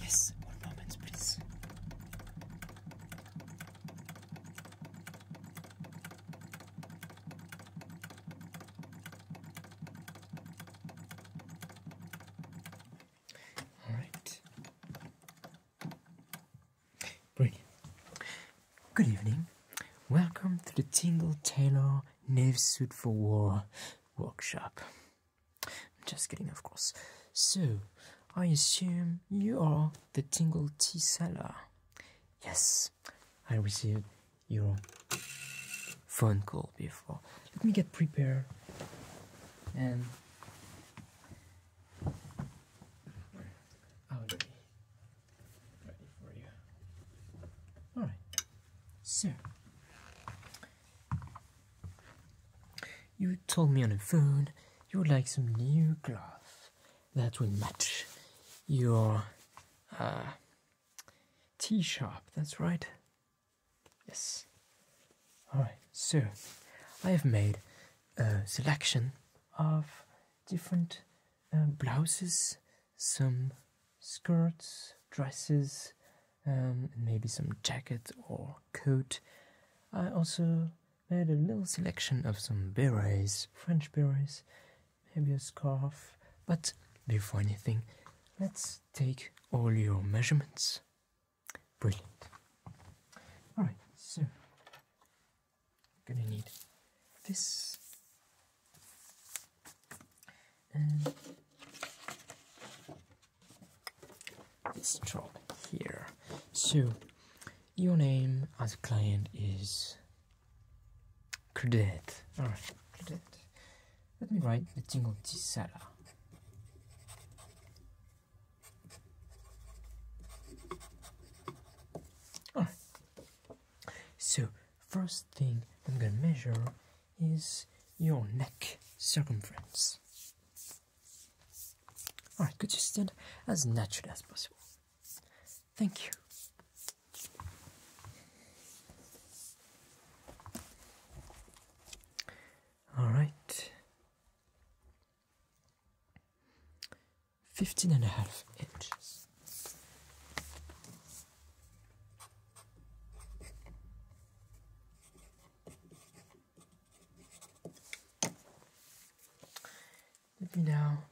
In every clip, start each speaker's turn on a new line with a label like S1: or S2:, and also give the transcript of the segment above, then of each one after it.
S1: Yes, one moment, please. All right. Brilliant. Good evening. Welcome to the Tingle Tailor Knave Suit for War workshop. I'm just kidding, of course. So, I assume you are the Tingle Tea Seller. Yes, I received your phone call before. Let me get prepared and I'll oh, be ready for you. All right, so you told me on the phone you would like some new cloth that will match your uh, T sharp. That's right. Yes. All right, so I have made a selection of different um, blouses, some skirts, dresses, um, and maybe some jacket or coat. I also made a little selection of some berets, French berets, maybe a scarf. But before anything, let's take all your measurements. Brilliant. Alright, so gonna need this and this drop here. So your name as a client is Credit. Alright, Credit. Let me write the jingle Gisela. Alright. So first thing I'm gonna measure is your neck circumference. Alright, could you stand as natural as possible? Thank you. Alright. 15 and a half inches. Let me now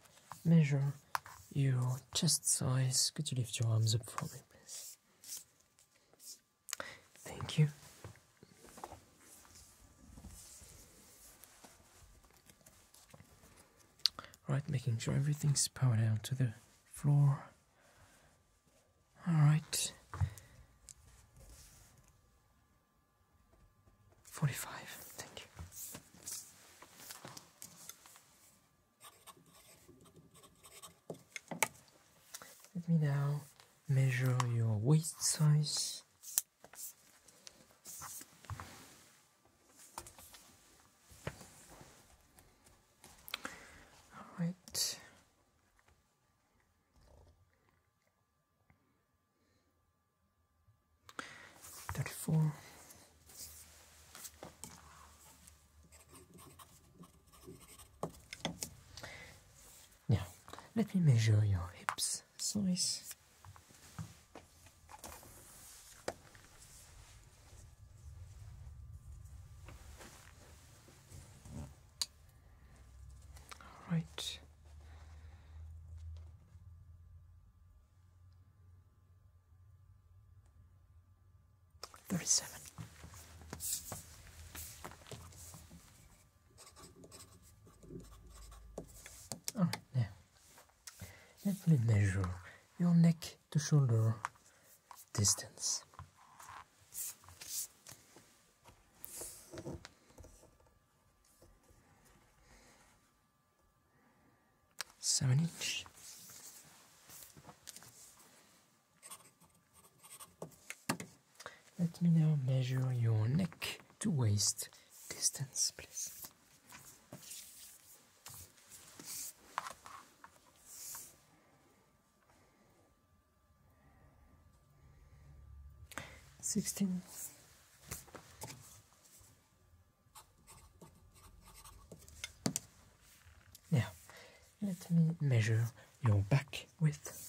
S1: measure your chest size. Could you lift your arms up for me, please? Thank you. Alright, making sure everything's powered down to the floor. Alright. 45. Thank you. Let me now measure your waist size. All right. Thirty-four. Now, let me measure your hips size. Right. Thirty-seven. All right, now let me measure your neck to shoulder distance. Seven inch. Let me now measure your neck to waist distance, please. Sixteen. Now, let me measure your back width.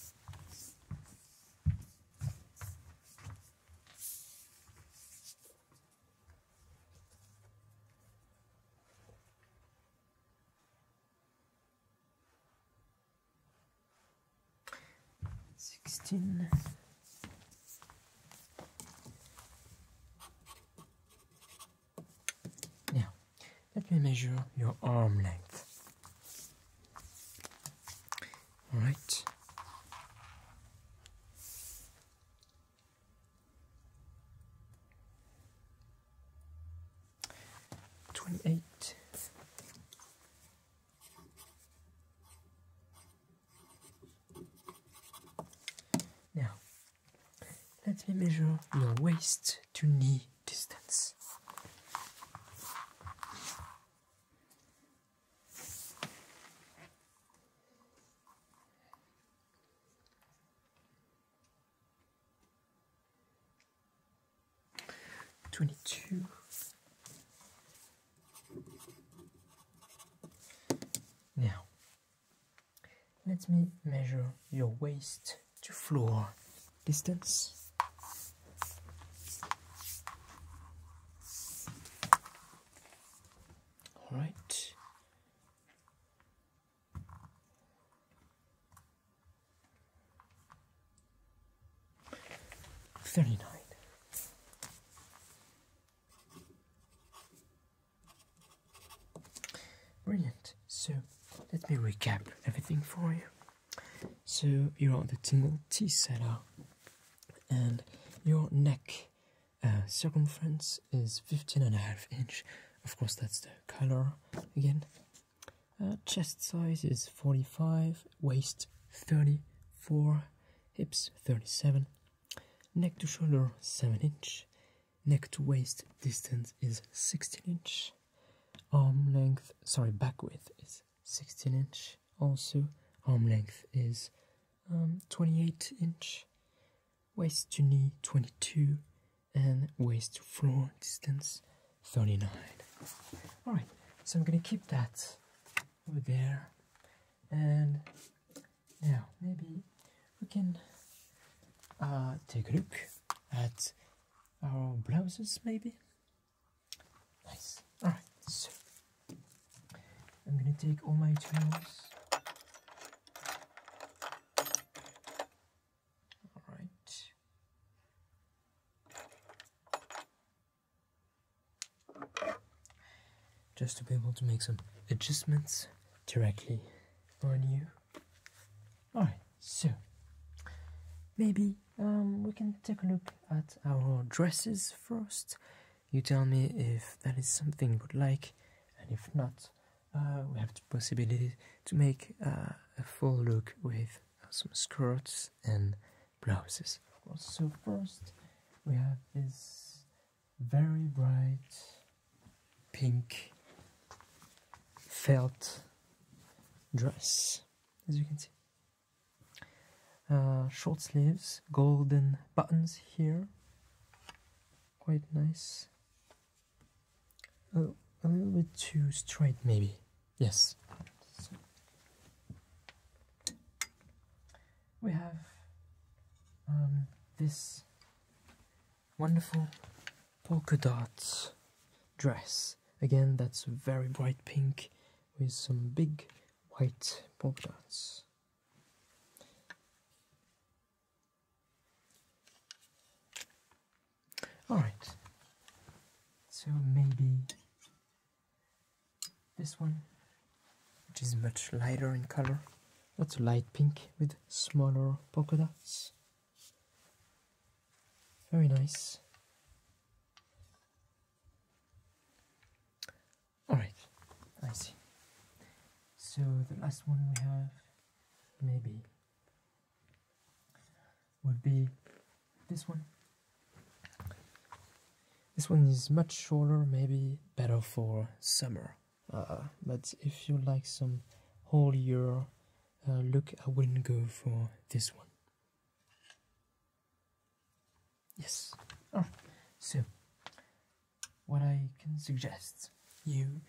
S1: Sixteen. Now, let me measure your arm length. All right. Twenty-eight. Now, let me measure your waist to knee distance. 22. Now, let me measure your waist to floor distance. All right, Thirty nine. Brilliant. So let me recap everything for you. So you're on the tingle T cellar and your neck uh, circumference is 15 and a half inch of course that's the color again uh, chest size is 45 waist 34 hips 37 neck to shoulder 7 inch neck to waist distance is 16 inch arm length sorry back width is 16 inch also arm length is um, 28 inch waist to knee 22 and waist to floor distance 39 all right so i'm gonna keep that over there and now maybe we can uh, take a look at our blouses maybe nice all right so I'm gonna take all my tools. Alright. Just to be able to make some adjustments directly on you. Alright, so maybe um, we can take a look at our dresses first. You tell me if that is something you would like, and if not, uh, we have the possibility to make uh, a full look with some skirts and blouses, of course. So, first, we have this very bright pink felt dress, as you can see. Uh, short sleeves, golden buttons here, quite nice. Oh, a little bit too straight, maybe. Yes. we have um, this wonderful polka dot dress. Again, that's very bright pink with some big white polka dots. All right. So maybe this one, which is much lighter in color. That's a light pink with smaller polka dots. Very nice. All right, I see. So the last one we have, maybe, would be this one. This one is much shorter, maybe better for summer. Uh, but if you like some whole year uh, look, I wouldn't go for this one. Yes. Oh, so what I can suggest you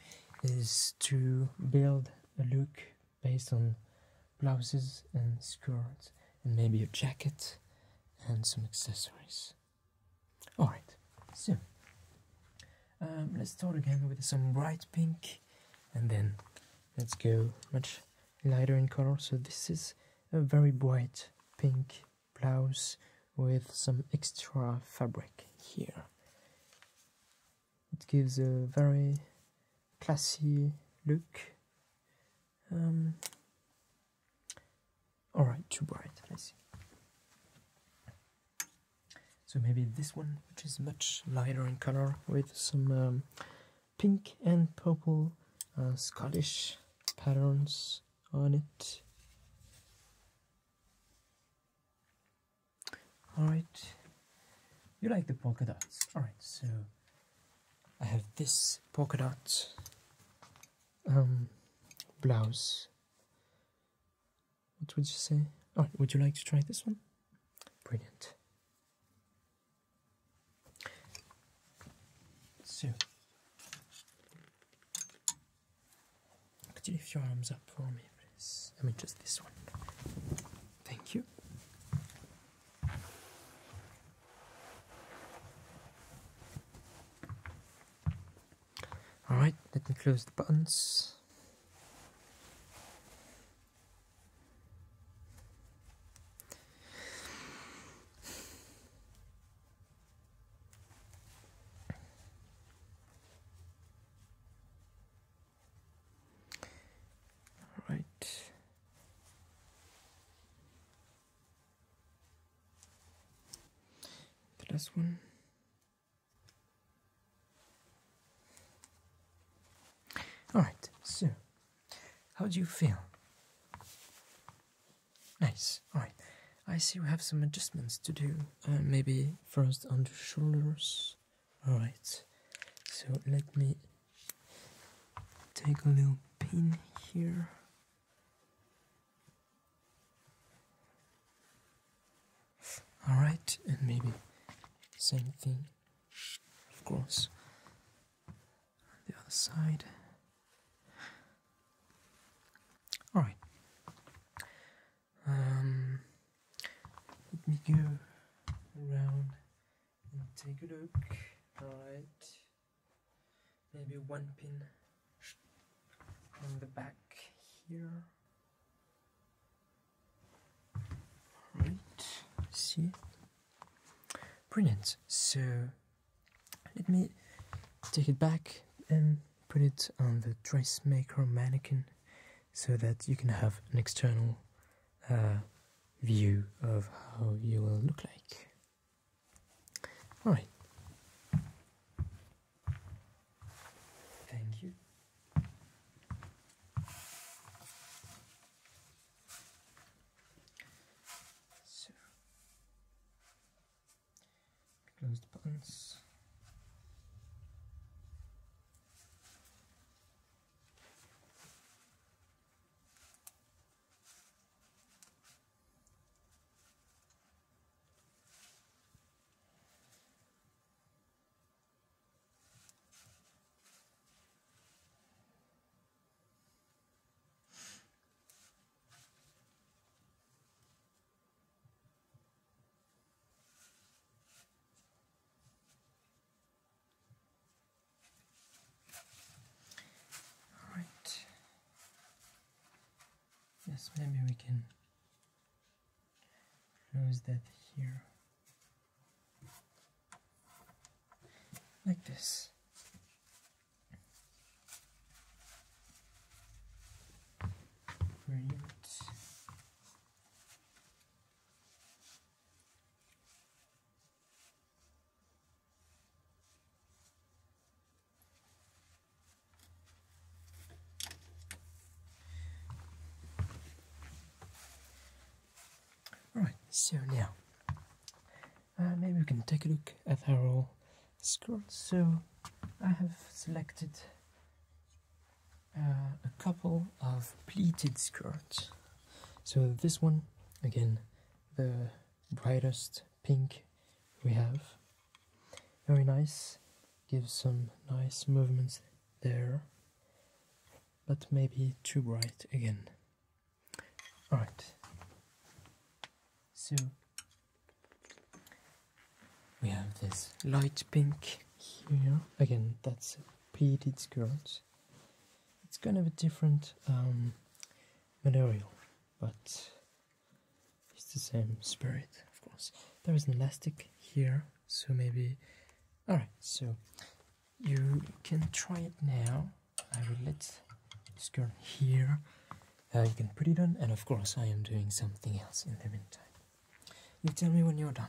S1: is to build a look based on blouses and skirts and maybe a jacket and some accessories. Alright, so um, let's start again with some bright pink and then let's go much lighter in color. So this is a very bright pink blouse with some extra fabric here. It gives a very classy look. Um, Alright, too bright, I see. So maybe this one, which is much lighter in color, with some um, pink and purple uh, Scottish patterns on it. All right, you like the polka dots. All right, so I have this polka dot um, blouse. What would you say? Oh, would you like to try this one? Brilliant. So, could you lift your arms up for me, please? I mean, just this one. Thank you. Alright, let me close the buttons. All right. The last one. All right, so how do you feel? Nice. All right. I see we have some adjustments to do. Uh, maybe first on the shoulders. Alright, so let me take a little pin here. Alright, and maybe same thing, of course, the other side. Alright, um, let me go around and take a look. Alright. Maybe one pin on the back here. Right, see? Brilliant. So let me take it back and put it on the dressmaker mannequin so that you can have an external uh, view of how you will look like. Alright. Thank you. So, Close the buttons. All right. Yes, maybe we can close that here. Like this print Right, so now uh, maybe we can take a look at our Skirt. So I have selected uh, a couple of pleated skirts. So this one, again, the brightest pink we have. Very nice, gives some nice movements there, but maybe too bright again. Alright, so we have this light pink here. Again, that's a pleated skirt. It's kind of a different um, material, but it's the same spirit, of course. There is an elastic here, so maybe... Alright, so you can try it now. I will let this girl here. Uh, you can put it on, and of course I am doing something else in the meantime. You tell me when you're done.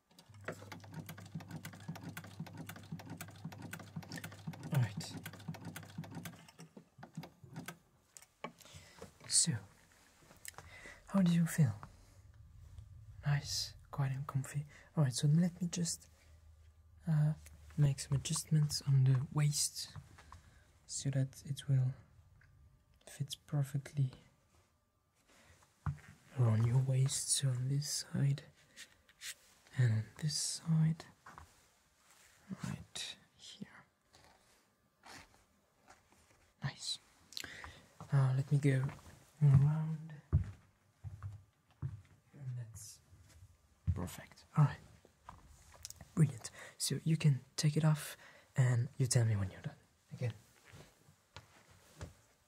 S1: All right. So, how do you feel? Nice, quiet and comfy. All right, so let me just uh, make some adjustments on the waist so that it will fit perfectly around your waist so on this side and on this side right here nice let me go around and that's perfect all right brilliant so you can take it off and you tell me when you're done again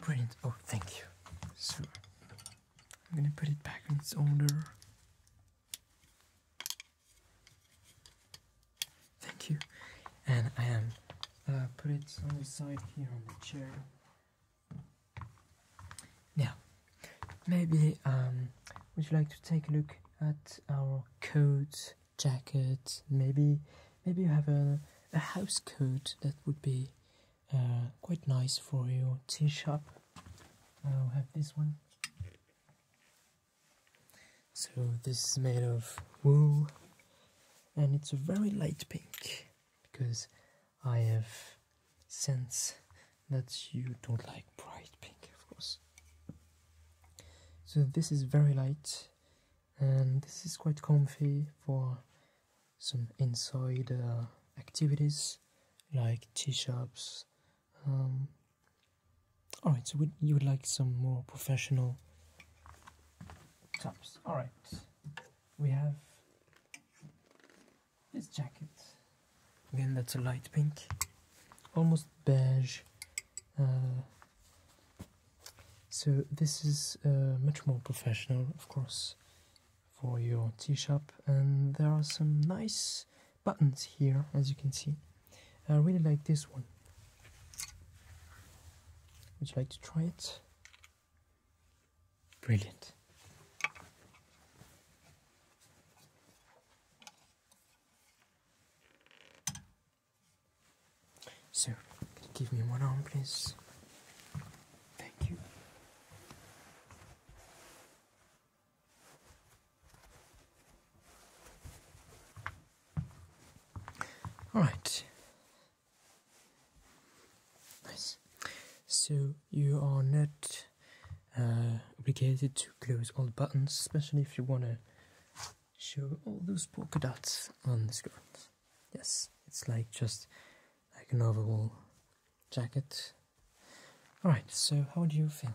S1: Brilliant. Oh, thank you. So I'm gonna put it back in its owner. Thank you. And I am uh, put it on the side here on the chair. Now, maybe um, would you like to take a look at our codes? jacket. Maybe maybe you have a, a house coat that would be uh, quite nice for your T-shirt, I'll have this one. So this is made of wool and it's a very light pink because I have sense that you don't like bright pink of course so this is very light and this is quite comfy for some inside uh, activities like tea shops um, all right so you would like some more professional tops all right we have this jacket again that's a light pink almost beige uh, so this is uh, much more professional, of course, for your tea shop. And there are some nice buttons here, as you can see. I really like this one. Would you like to try it? Brilliant. So, can you give me one arm, please? Thank you. All right. Nice. So you are not uh, obligated to close all the buttons, especially if you want to show all those polka dots on the skirt. Yes, it's like just like an overall jacket. Alright, so how do you feel?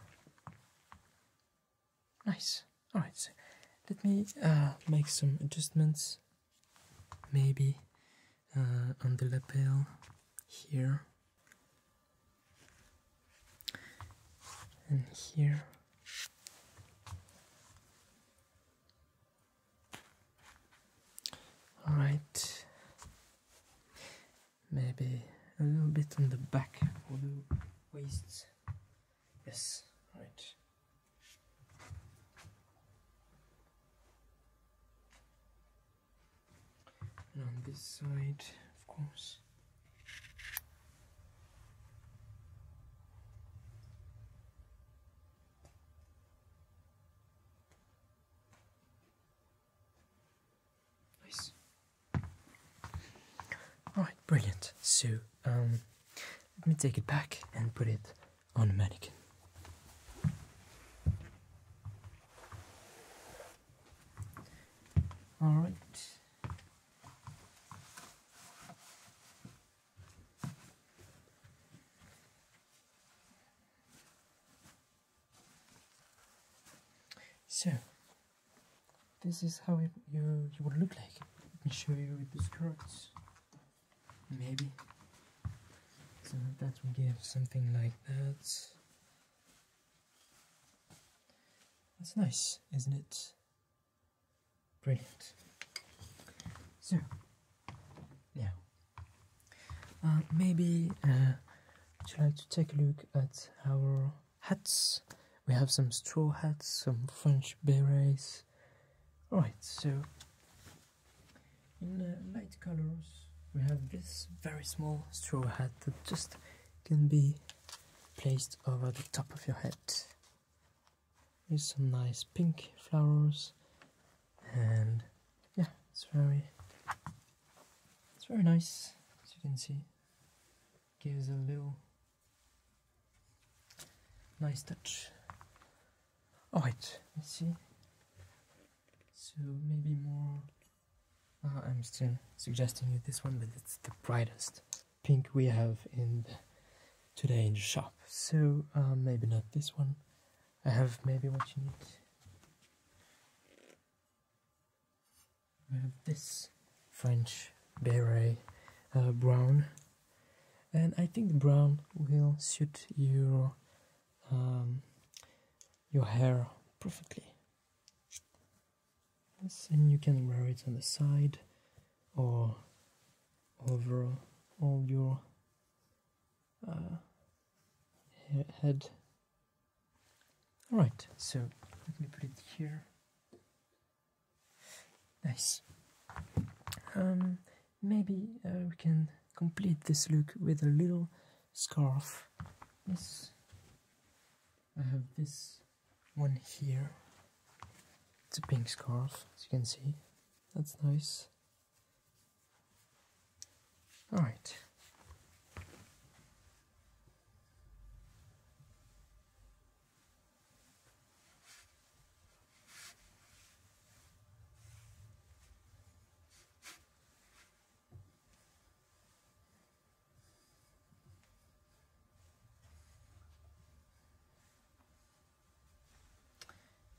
S1: Nice. Alright, so let me uh, make some adjustments. Maybe uh, on the lapel here and here all right maybe a little bit on the back or the waist yes right and on this side of course Nice. brilliant. Sue. Um, let me take it back and put it on the mannequin. Alright. So, this is how it, you, you would look like. Let me show you with the skirts. Maybe. So that will give something like that. That's nice, isn't it? Brilliant. So, yeah. Uh, maybe uh, would you like to take a look at our hats? We have some straw hats, some French berets. Right. so in uh, light colors, we have this very small straw hat that just can be placed over the top of your head with some nice pink flowers and yeah it's very it's very nice as you can see gives a little nice touch all right let's see so maybe more uh, I'm still suggesting you this one but it's the brightest pink we have in today in the shop. So um, maybe not this one. I have maybe what you need. We have this French berry uh, brown, and I think brown will suit your um, your hair perfectly and you can wear it on the side or over all your uh, head. Alright, so let me put it here. Nice. Um, maybe uh, we can complete this look with a little scarf. Yes. I have this one here. It's a pink scarf, as you can see. That's nice. Alright.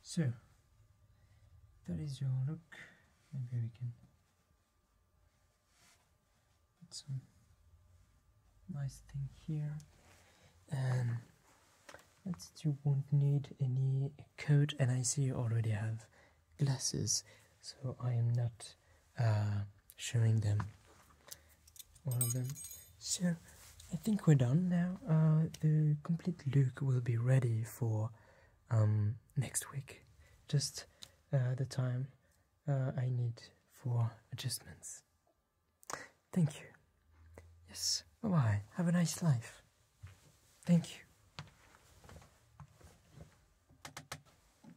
S1: So that is your look. Maybe we can put some nice thing here. And um, let's you won't need any coat and I see you already have glasses so I am not uh, showing them all of them. So I think we're done now. Uh, the complete look will be ready for um, next week. Just uh, the time uh, I need for adjustments. Thank you. Yes, bye bye. Have a nice life. Thank you.